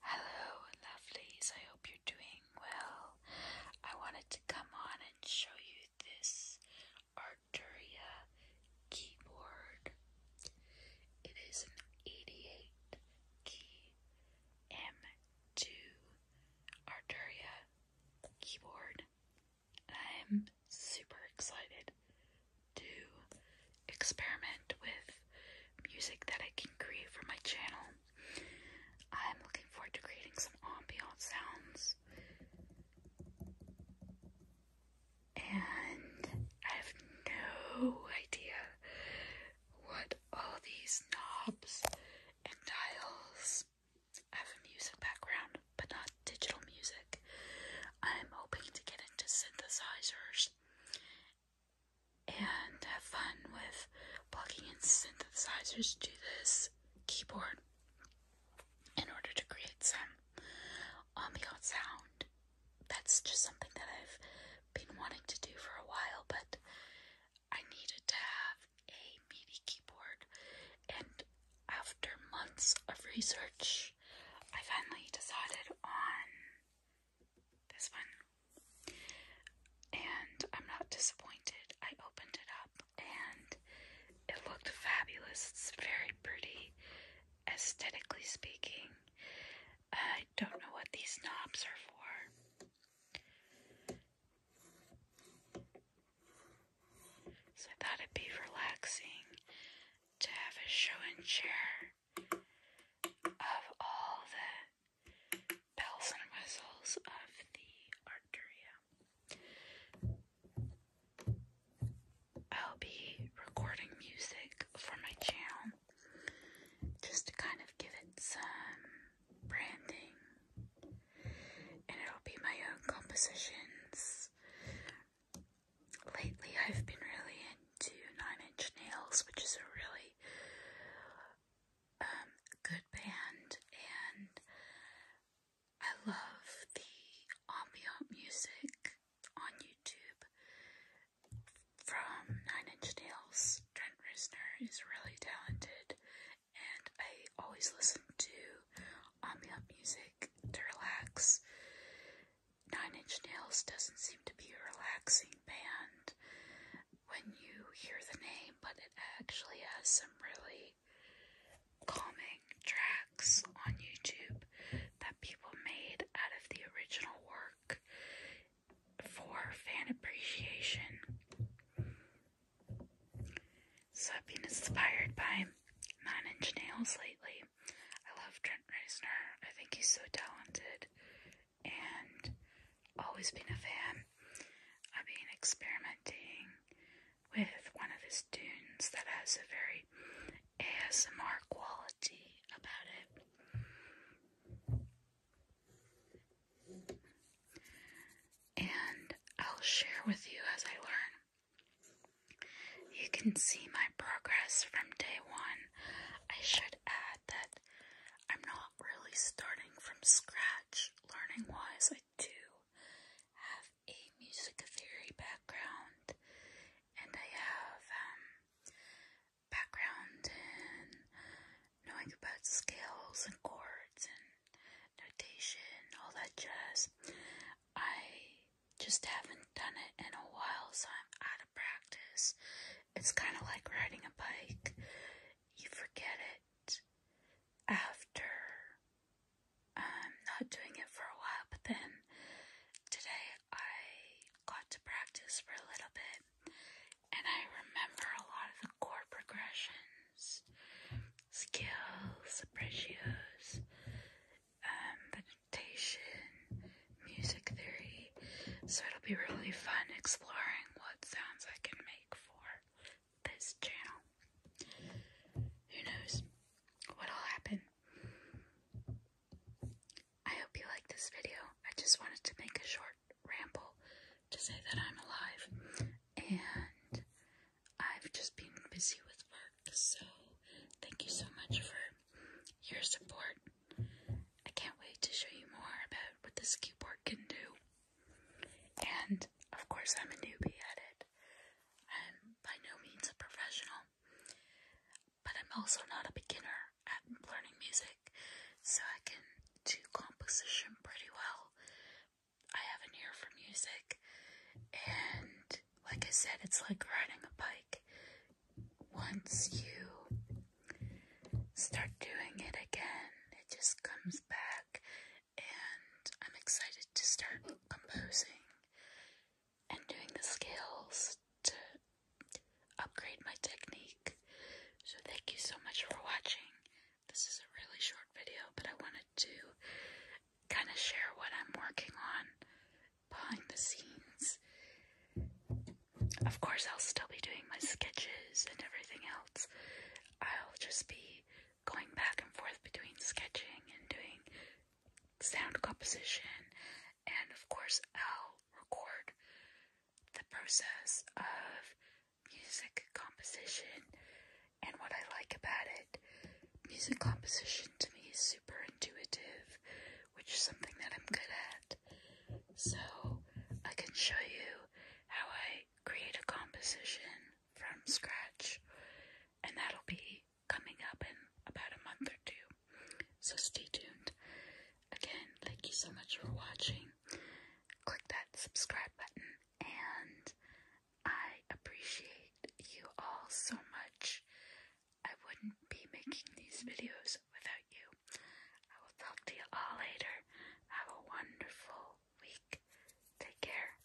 Hello, lovelies. I hope you're doing well. I wanted to come on and show you this Arturia keyboard. It is an 88 key M2 Arturia keyboard. I'm super excited to experiment with music that I can create for my channel. I'm looking forward to creating some ambient sounds. And I have no idea what all these knobs and dials have a music background but not digital music. I'm hoping to get into synthesizers and have fun with plugging in synthesizers to this keyboard in order to create some ambient sound. That's just something that I've been wanting to do for a while, but I needed to have a MIDI keyboard, and after months of research, I finally decided on this one. And I'm not disappointed. I opened it up and it looked fabulous. It's very pretty, aesthetically speaking. I don't know what these knobs are for. So I thought it'd be relaxing to have a show and share of all the bells and whistles of the Arturia. I'll be recording music for my channel just to kind of give it some branding and it'll be my own compositions. Lately, I've been really into Nine Inch Nails, which is a really um, good band, and I love the ambient music on YouTube from Nine Inch Nails. Trent Reznor is really talented and I always listen to ambient music to relax. Nine Inch Nails doesn't seem to be a relaxing band when you hear the name, but it actually has some really calming tracks on YouTube that people made out of the original work for fan appreciation. So I've been inspired by Man Inch Nails lately. I love Trent Reznor. I think he's so talented and always been a fan. I've been experimenting with one of his tunes that has a very ASMR quality about it. And I'll share with you as I learn. You can see my progress from day one. I should add that I'm not really starting from scratch learning wise. I do have a music theory background and I have um, background and knowing about scales and chords and notation, all that jazz. I just haven't done it in a while, so I'm out of practice. It's kind of like riding a bike, you forget it after I'm um, not doing it for a while, but then today I got to practice for a little bit. And I remember a lot of the chord progressions, skills, apprecios, um, meditation, music theory. So it'll be really fun exploring what sounds I can make for this channel. Who knows what'll happen? I hope you like this video. I just wanted to make a short ramble to say that I'm alive. And I've just been busy with work, so thank you so much for your support. I can't wait to show you more about what this keyboard can do. And of course, I'm a newbie at it. I'm by no means a professional but I'm also not a beginner at learning music, so I can do composition pretty well. I have an ear for music, and like I said, it's like riding a bike. Once you start doing it again, it just comes back, and I'm excited to start composing and doing the skills to upgrade my technique. So thank you so much for watching. This is a really short video, but I wanted to kind of share what I'm working on behind the scenes. Of course, I'll still be doing my sketches and everything else. I'll just be going back and forth between sketching and doing sound composition and of course I'll record the process of music composition and what I like about it. Music composition to me is super intuitive, which is something that I'm good at. So I can show you how I create a composition from scratch, and that'll be coming up in about a month or two. So stay tuned. Again, thank you so much for watching. Click that subscribe button, and I appreciate you all so much. I wouldn't be making these videos without you. I will talk to you all later. Have a wonderful week. Take care.